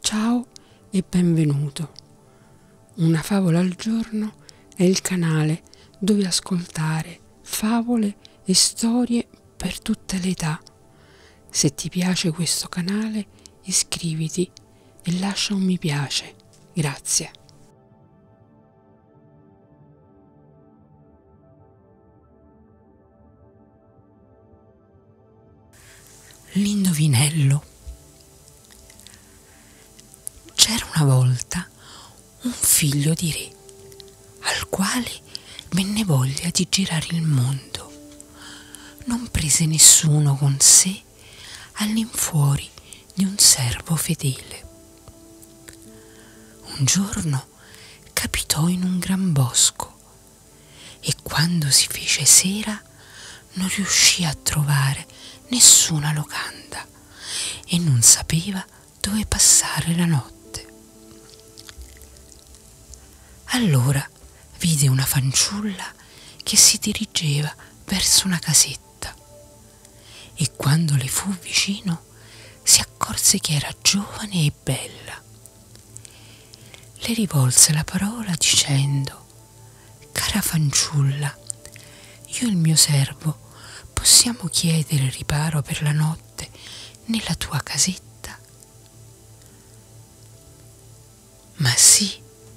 Ciao e benvenuto. Una favola al giorno è il canale dove ascoltare favole e storie per tutte le età. Se ti piace questo canale iscriviti e lascia un mi piace. Grazie. L'indovinello. C'era una volta un figlio di re, al quale venne voglia di girare il mondo. Non prese nessuno con sé all'infuori di un servo fedele. Un giorno giorno capitò in un gran bosco e quando si fece sera non riuscì a trovare nessuna locanda e non sapeva dove passare la notte. Allora vide una fanciulla che si dirigeva verso una casetta e quando le fu vicino si accorse che era giovane e bella. Le rivolse la parola dicendo Cara fanciulla, io e il mio servo possiamo chiedere riparo per la notte nella tua casetta. Ma sì,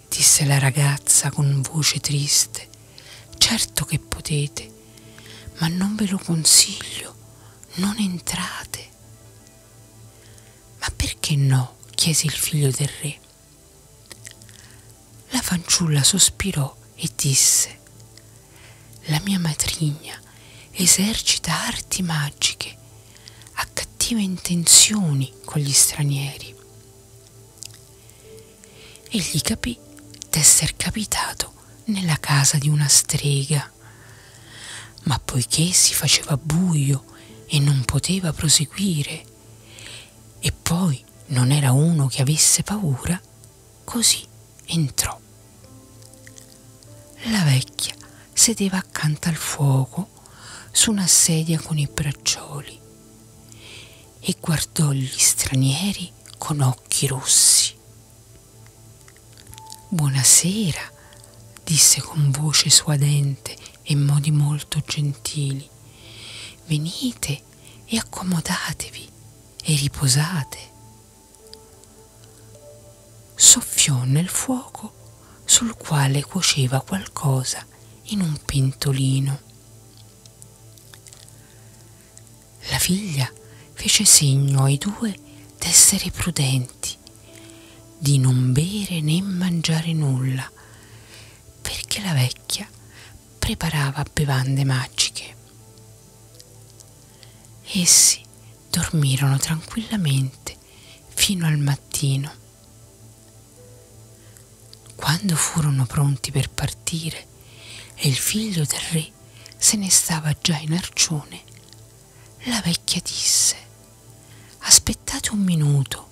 disse la ragazza con voce triste, Certo che potete, ma non ve lo consiglio, non entrate. Ma perché no? chiese il figlio del re. La fanciulla sospirò e disse, la mia matrigna esercita arti magiche, ha cattive intenzioni con gli stranieri. Egli capì d'esser capitato nella casa di una strega, ma poiché si faceva buio e non poteva proseguire, e poi non era uno che avesse paura, così entrò. La vecchia sedeva accanto al fuoco su una sedia con i braccioli e guardò gli stranieri con occhi rossi. Buonasera, disse con voce suadente e modi molto gentili. Venite e accomodatevi e riposate. Soffiò nel fuoco sul quale cuoceva qualcosa in un pentolino. La figlia fece segno ai due d'essere prudenti, di non bere né mangiare nulla, perché la vecchia preparava bevande magiche. Essi dormirono tranquillamente fino al mattino quando furono pronti per partire e il figlio del re se ne stava già in arcione, la vecchia disse, aspettate un minuto,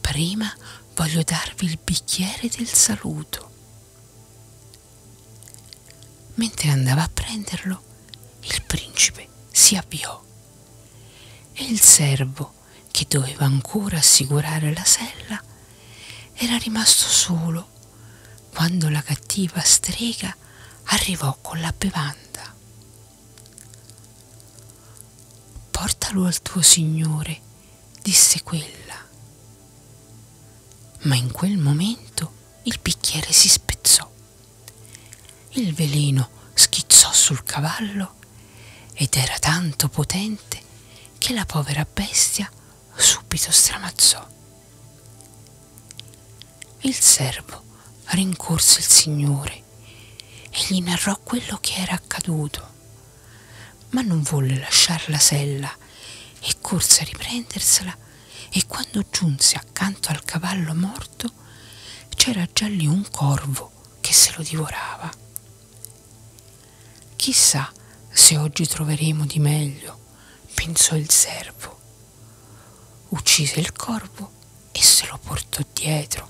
prima voglio darvi il bicchiere del saluto. Mentre andava a prenderlo, il principe si avviò e il servo che doveva ancora assicurare la sella, era rimasto solo quando la cattiva strega arrivò con la bevanda. Portalo al tuo signore, disse quella. Ma in quel momento il bicchiere si spezzò. Il veleno schizzò sul cavallo ed era tanto potente che la povera bestia subito stramazzò. Il servo rincorse il Signore e gli narrò quello che era accaduto, ma non volle lasciar la sella e corse a riprendersela e quando giunse accanto al cavallo morto c'era già lì un corvo tifo che se lo divorava. Chissà se oggi troveremo di meglio, pensò il servo. Uccise il corvo e se lo portò dietro.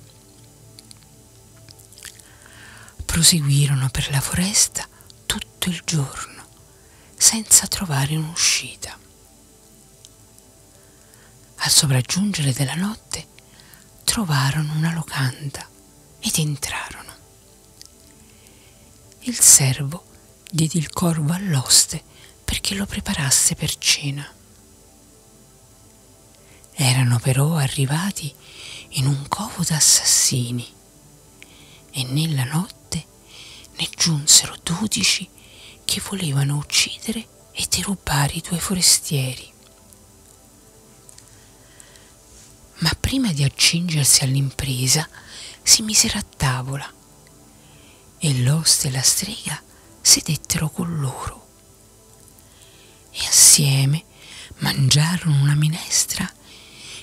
Proseguirono per la foresta tutto il giorno, senza trovare un'uscita. Al sopraggiungere della notte trovarono una locanda ed entrarono. Il servo diede il corvo all'oste perché lo preparasse per cena. Erano però arrivati in un covo d'assassini e nella notte ne giunsero dodici che volevano uccidere fuggire e ti rubare i tuoi forestieri. Ma prima di accingersi all'impresa si misero a tavola e l'oste e la strega sedettero con loro e assieme mangiarono una minestra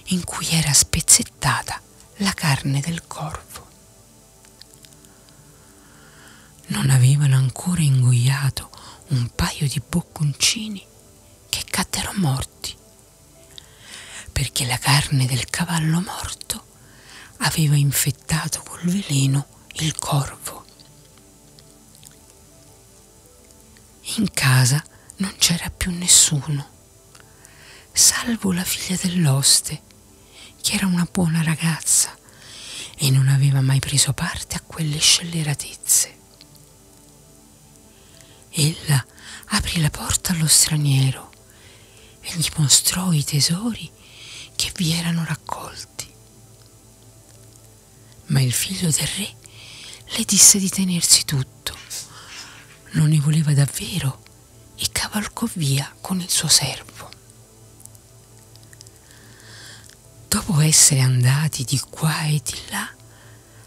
in cui era spezzettata la carne del corvo. Non avevano ancora ingoiato un paio di bocconcini che caddero morti, perché la carne del cavallo morto aveva infettato col veleno il corvo. In casa non c'era più nessuno, salvo la figlia dell'oste che era una buona ragazza e non aveva mai preso parte a quelle scelleratezze. Ella aprì la porta allo straniero e gli mostrò i tesori che vi erano raccolti. Ma il figlio del re le disse di tenersi tutto, non ne voleva davvero e cavalcò via con il suo servo. Dopo essere andati di qua e di là,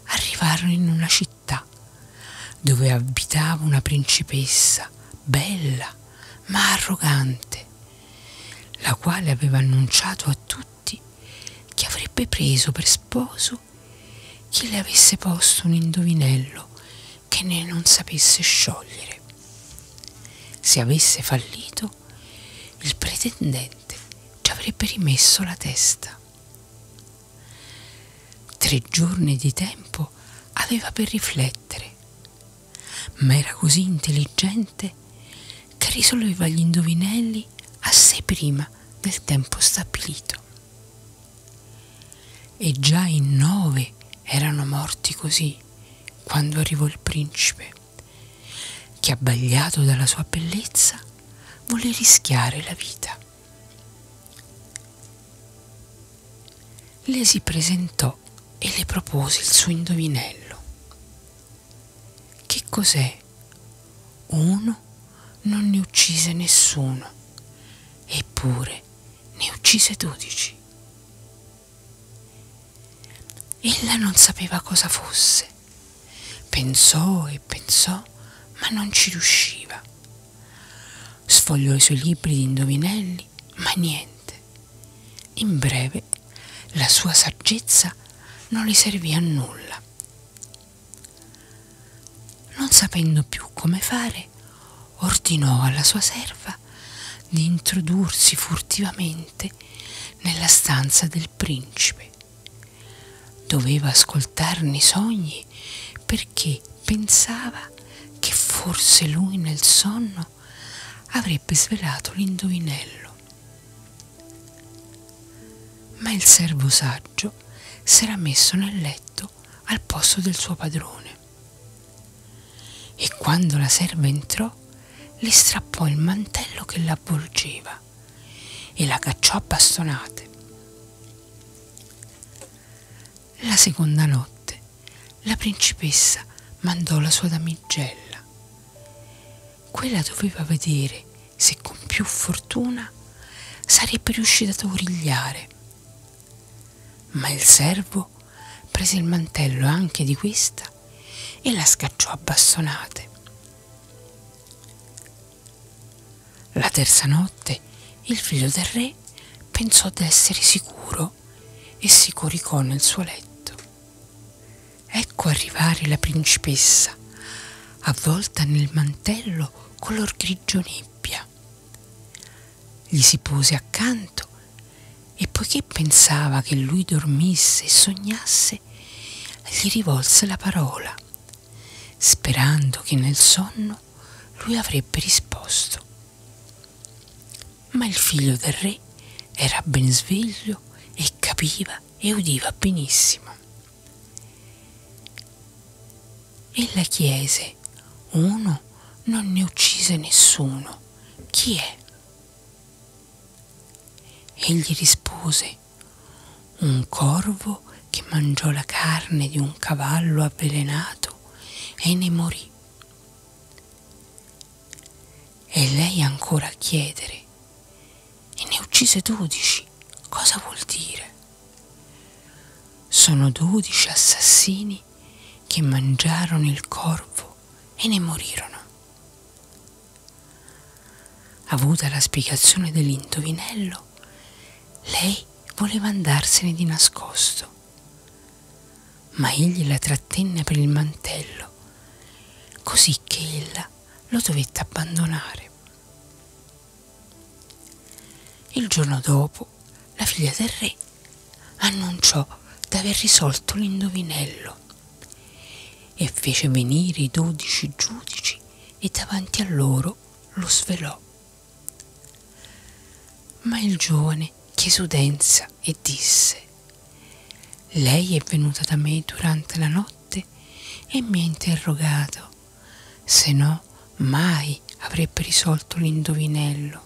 arrivarono in una città dove abitava una principessa bella ma arrogante, la quale aveva annunciato a tutti che avrebbe preso per sposo chi le avesse posto un indovinello che ne non sapesse sciogliere. Se avesse fallito, il pretendente ci avrebbe rimesso la testa. Tre giorni di tempo aveva per riflettere, ma era così intelligente che risolveva gli indovinelli assai prima del tempo stabilito. E già in nove erano morti così quando arrivò il principe, che abbagliato dalla sua bellezza volle rischiare la vita. Le si presentò e le propose il suo indovinello. Che cos'è? Uno non ne uccise nessuno, eppure ne uccise dodici. Ella non sapeva cosa fosse. Pensò e pensò, ma non ci riusciva. Sfogliò i suoi libri di indovinelli, ma niente. In breve, la sua saggezza non le servì a nulla. Non sapendo più come fare, ordinò alla sua serva di introdursi furtivamente nella stanza del principe. Doveva ascoltarne i sogni perché pensava che forse lui nel sonno avrebbe svelato l'indovinello. Ma il servo saggio s'era messo nel letto al posto del suo padrone. E quando la serva entrò, le strappò il mantello che l'avvolgeva e la cacciò a bastonate. La seconda notte la principessa mandò la sua damigella. Quella doveva vedere se con più fortuna sarebbe riuscito a origliare. Ma il servo prese il mantello anche di questa e la scacciò a bastonate. La terza notte il figlio del re pensò d'essere sicuro e si coricò nel suo letto. Ecco arrivare la principessa avvolta nel mantello color grigio nebbia. Gli si pose accanto e poiché pensava che lui dormisse e sognasse, gli rivolse la parola, sperando che nel sonno lui avrebbe risposto. Ma il figlio del re era ben sveglio e capiva e udiva benissimo. Ella chiese, uno non ne uccise nessuno, chi è? Egli rispose, un corvo che mangiò la carne di un cavallo avvelenato e ne morì. E lei ancora a chiedere, e ne uccise dodici. Cosa vuol dire? Sono dodici assassini che mangiarono il corvo e ne morirono. Avuta la spiegazione dell'indovinello, lei voleva andarsene di nascosto, ma egli la trattenne per il mantello, così che ella lo dovette abbandonare. Il giorno dopo, la figlia del re annunciò d'aver risolto l'indovinello e fece venire i dodici giudici e davanti a loro lo svelò. Ma il giovane chiese udenza e disse lei è venuta da me durante la notte e mi ha interrogato, se no mai avrebbe risolto l'indovinello.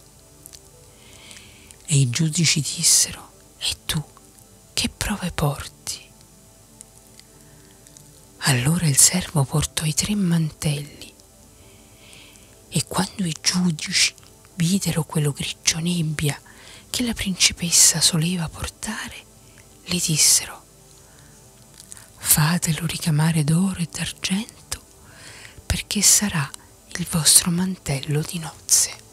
E i giudici dissero, e tu che prove porti? Allora il servo portò i tre mantelli e quando i giudici videro quello grigio nebbia che la principessa soleva portare le dissero fatelo ricamare d'oro e d'argento perché sarà il vostro mantello di nozze